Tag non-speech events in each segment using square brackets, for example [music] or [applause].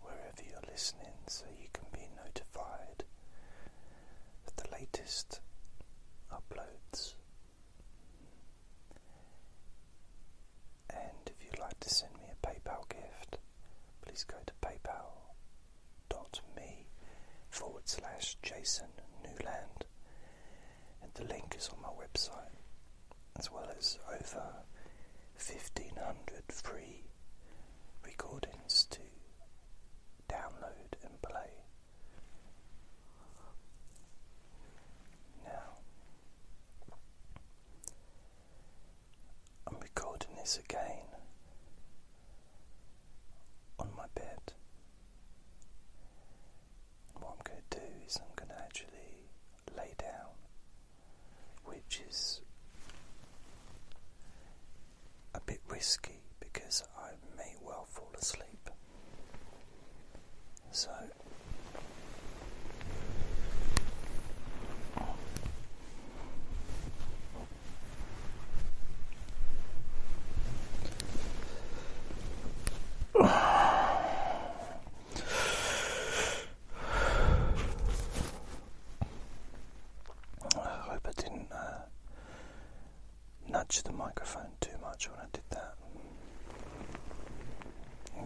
wherever you're listening so you can be notified of the latest uploads. And if you'd like to send me a PayPal gift, please go to paypal.me forward slash Jason Newland, and the link is on my website as well as over 1500 free recordings to download and play. Now, I'm recording this again on my bed what I'm going to do is I'm going to actually lay down, which is a bit risky because I may well fall asleep. So I hope I didn't uh, nudge the microphone too much when I did that.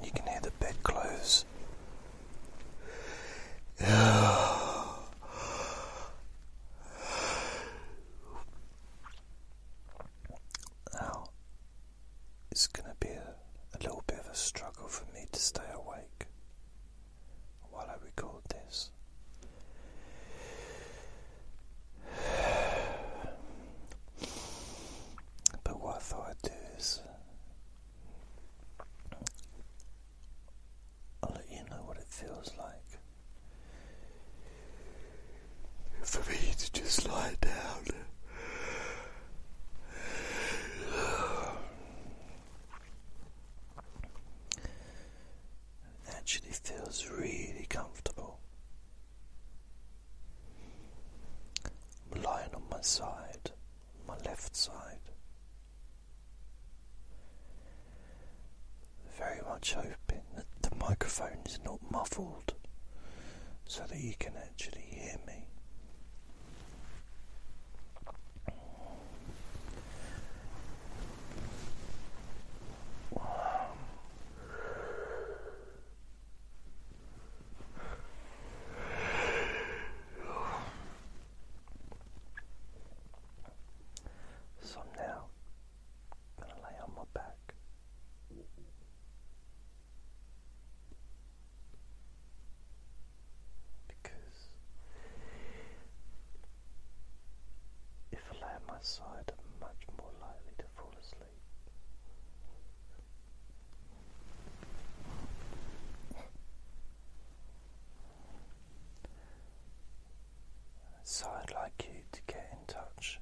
you can hear the bedclothes. [sighs] Ow. It's going to be a, little bit of a struggle for me to stay awake while I record this. But what I thought I'd do is I'll let you know what it feels like for me to just lie down. actually feels really comfortable. I'm lying on my side, my left side. Very much hoping that the microphone is not muffled so that you can actually hear me. Um, so I'm going to lay on my back. Because if I lay on my side, I'm much more likely to fall asleep. So I'd like you to get in touch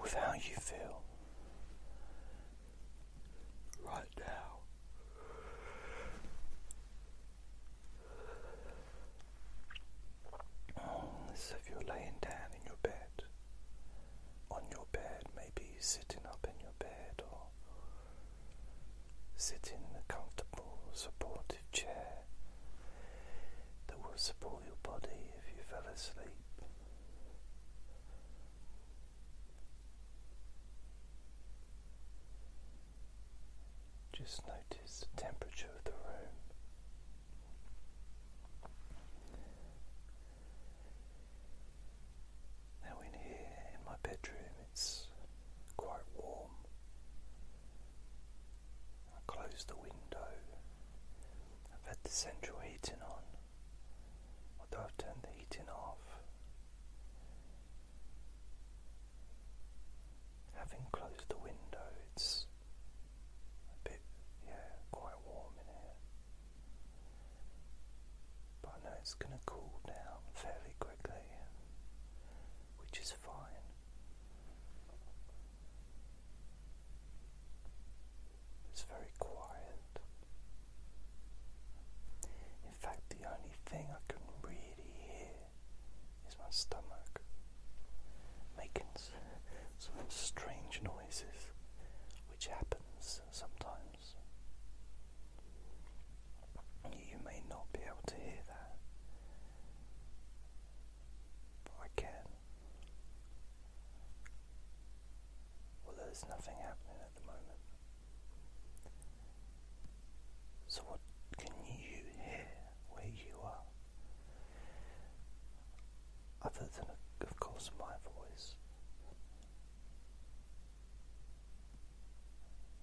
with how you feel right now. Mm, so, if you're laying down in your bed, on your bed, maybe sitting up in your bed or sitting in a comfortable, supportive chair that will support your body if you fell asleep. Just notice the temperature of the room. Now, in here in my bedroom, it's quite warm. I close the window I've had the central heating on, although I've turned the heating off. Having closed the window, it's a bit, yeah, quite warm in here. But I know it's going to cool down fairly quickly, which is fine. It's very quiet. In fact, the only thing I can really hear is my stomach making some strange noises, which happens sometimes. You may not be able to hear that. I can. Well, there's nothing happening at the moment. So, what can you hear where you are? Other than, of course, my voice.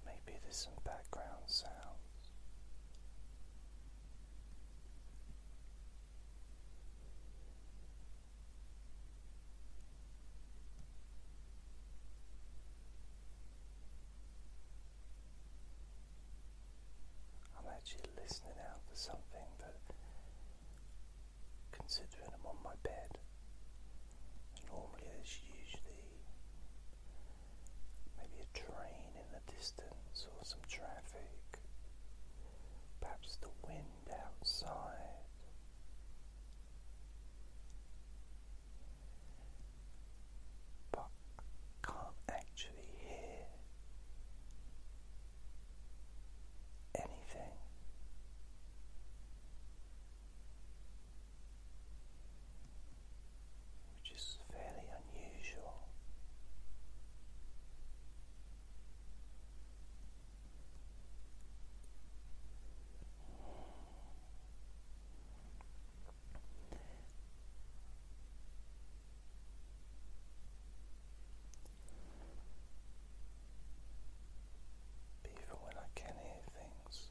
Maybe there's some background sounds. I'm actually listening out for something but considering I'm on my bed, normally there's usually maybe a train in distance or some traffic, perhaps the wind outside. But I can't actually hear anything. Which is is fairly unusual. Even when I can hear things,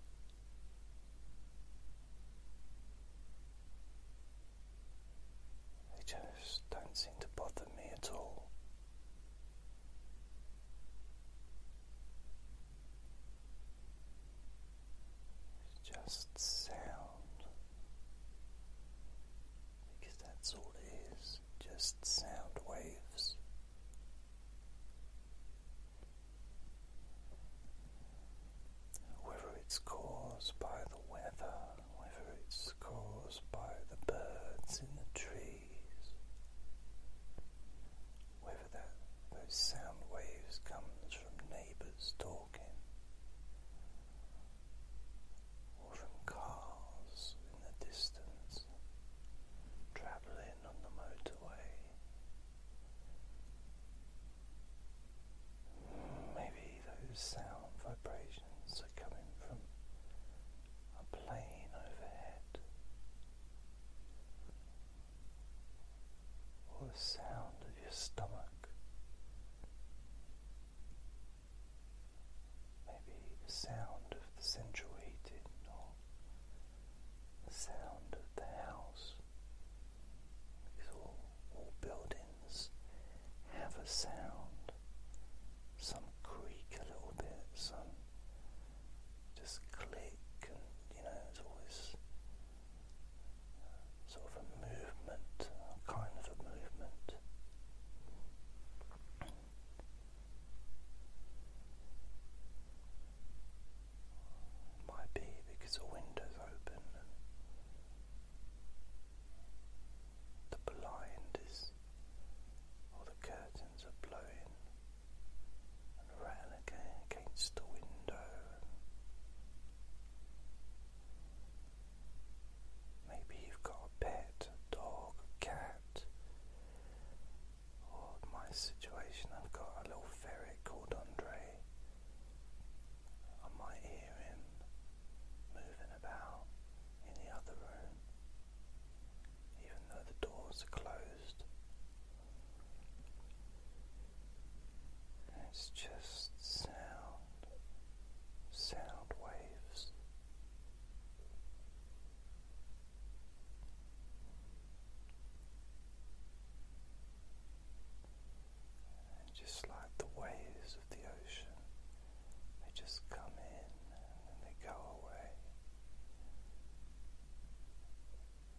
they just don't seem to bother me at all. It's just sound, because that's all it is, just sound waves. Whether it's caused by the weather whether it's caused by the birds in the trees, whether that those sound waves comes from neighbours talking, or from cars in the distance travelling on the motorway. Maybe those sound vibrations are coming from a plane overhead, or the sound of your stomach, maybe the sound of the central or the sound of the house. Because all, all buildings have a sound. Some creak a little bit, some just click, and you know, it's always uh, sort of a movement, kind of a movement. Might be because the window's open the blind is, or the curtains are blowing rattling against the window. Maybe you've got a pet, dog, cat. Or my situation, I've got a little ferret called Andre. I might hear him moving about in the other room, even though the doors are closed. It's just sound, sound waves. And just like the waves of the ocean, they just come in and they go away.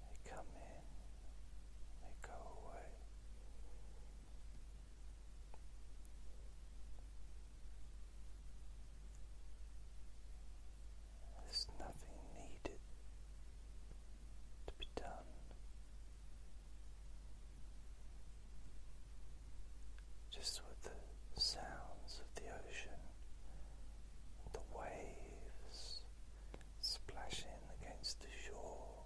They come in, they go away. There's nothing needed to be done just with the sounds of the ocean, the waves splashing against the shore,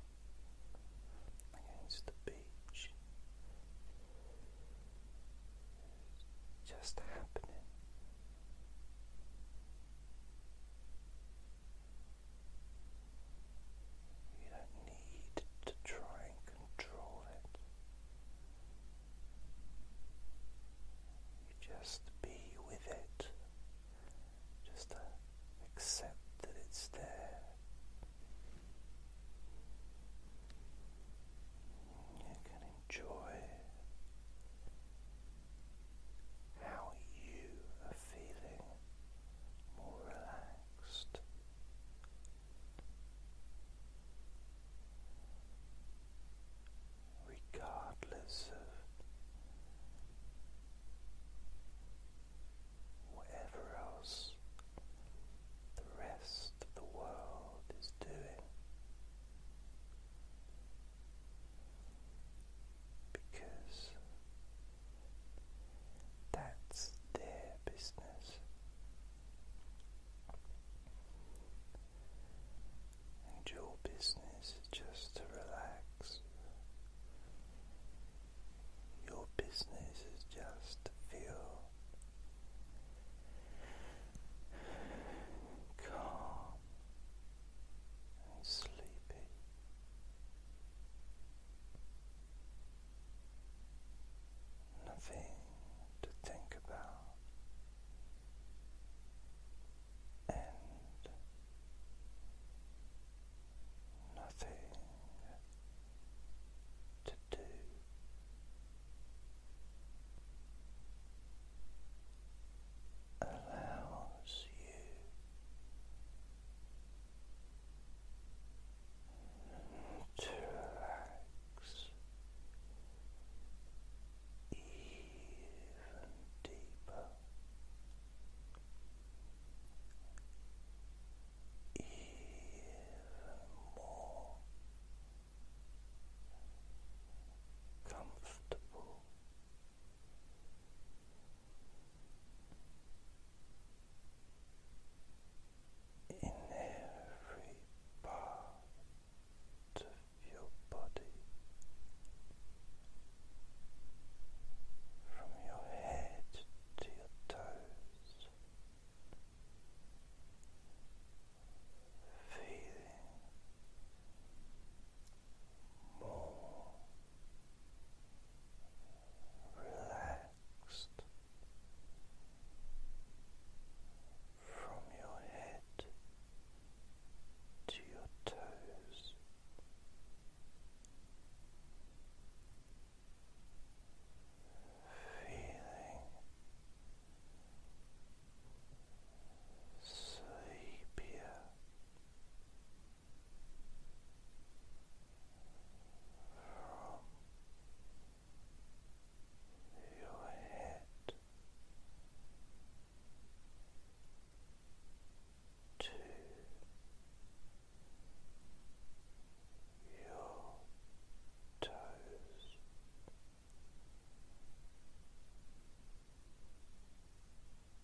against the beach, just happening. You don't need to try and control it. You just be with it. Just uh, accept that it's there. You can enjoy how you are feeling more relaxed. Regardless of whatever else the rest of the world is doing, because that's their business. And your business is just to relax. Your business is just to feel calm and sleepy. Nothing to think about, and nothing to do. Allows you to relax even deeper, even more comfortable in every part of your body from your head to your toes, feeling more relaxed from your head to your toes. Feeling sleepier from your head to your toes.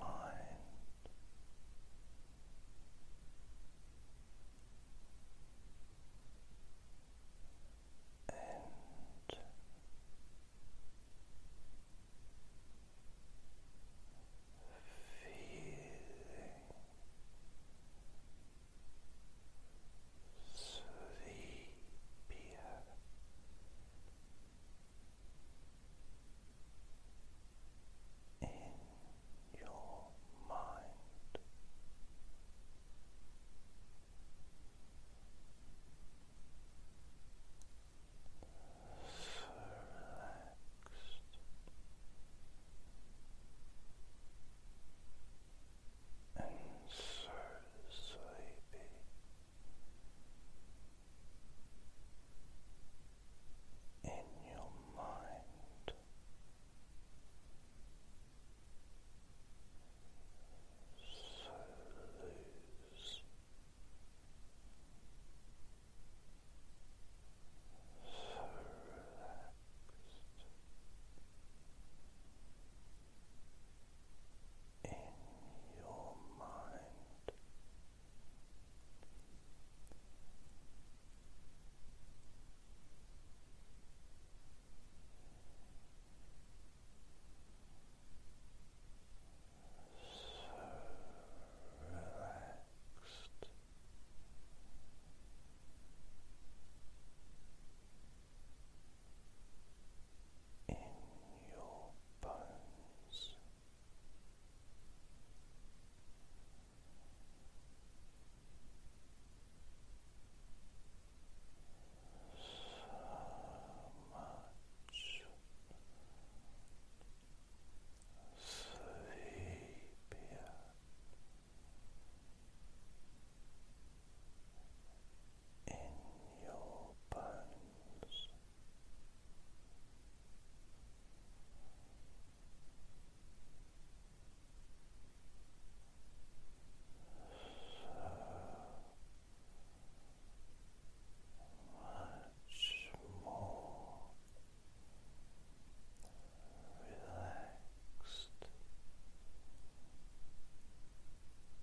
mind. And feeling sleepier in your mind. So relaxed. And so sleepy in your mind. So loose, so relaxed, in your mind. So relaxed in your bones. So much sleepier in your bones. So much more relaxed.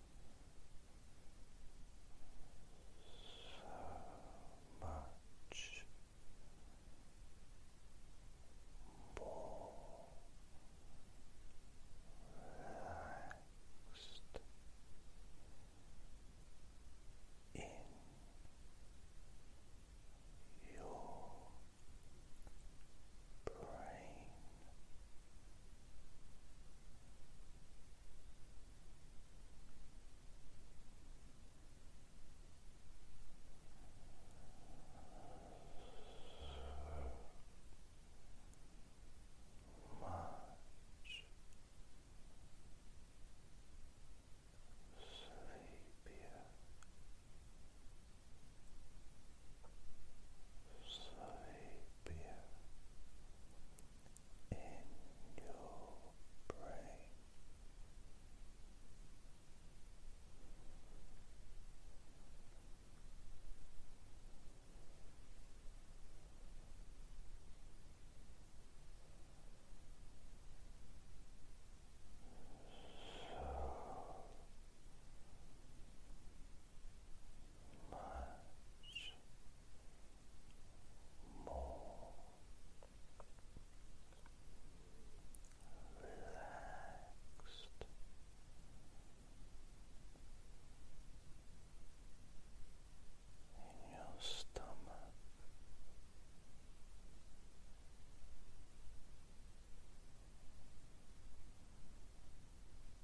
so much more relaxed in your brain much sleepier, sleepier in your brain. So much more relaxed. In your stomach,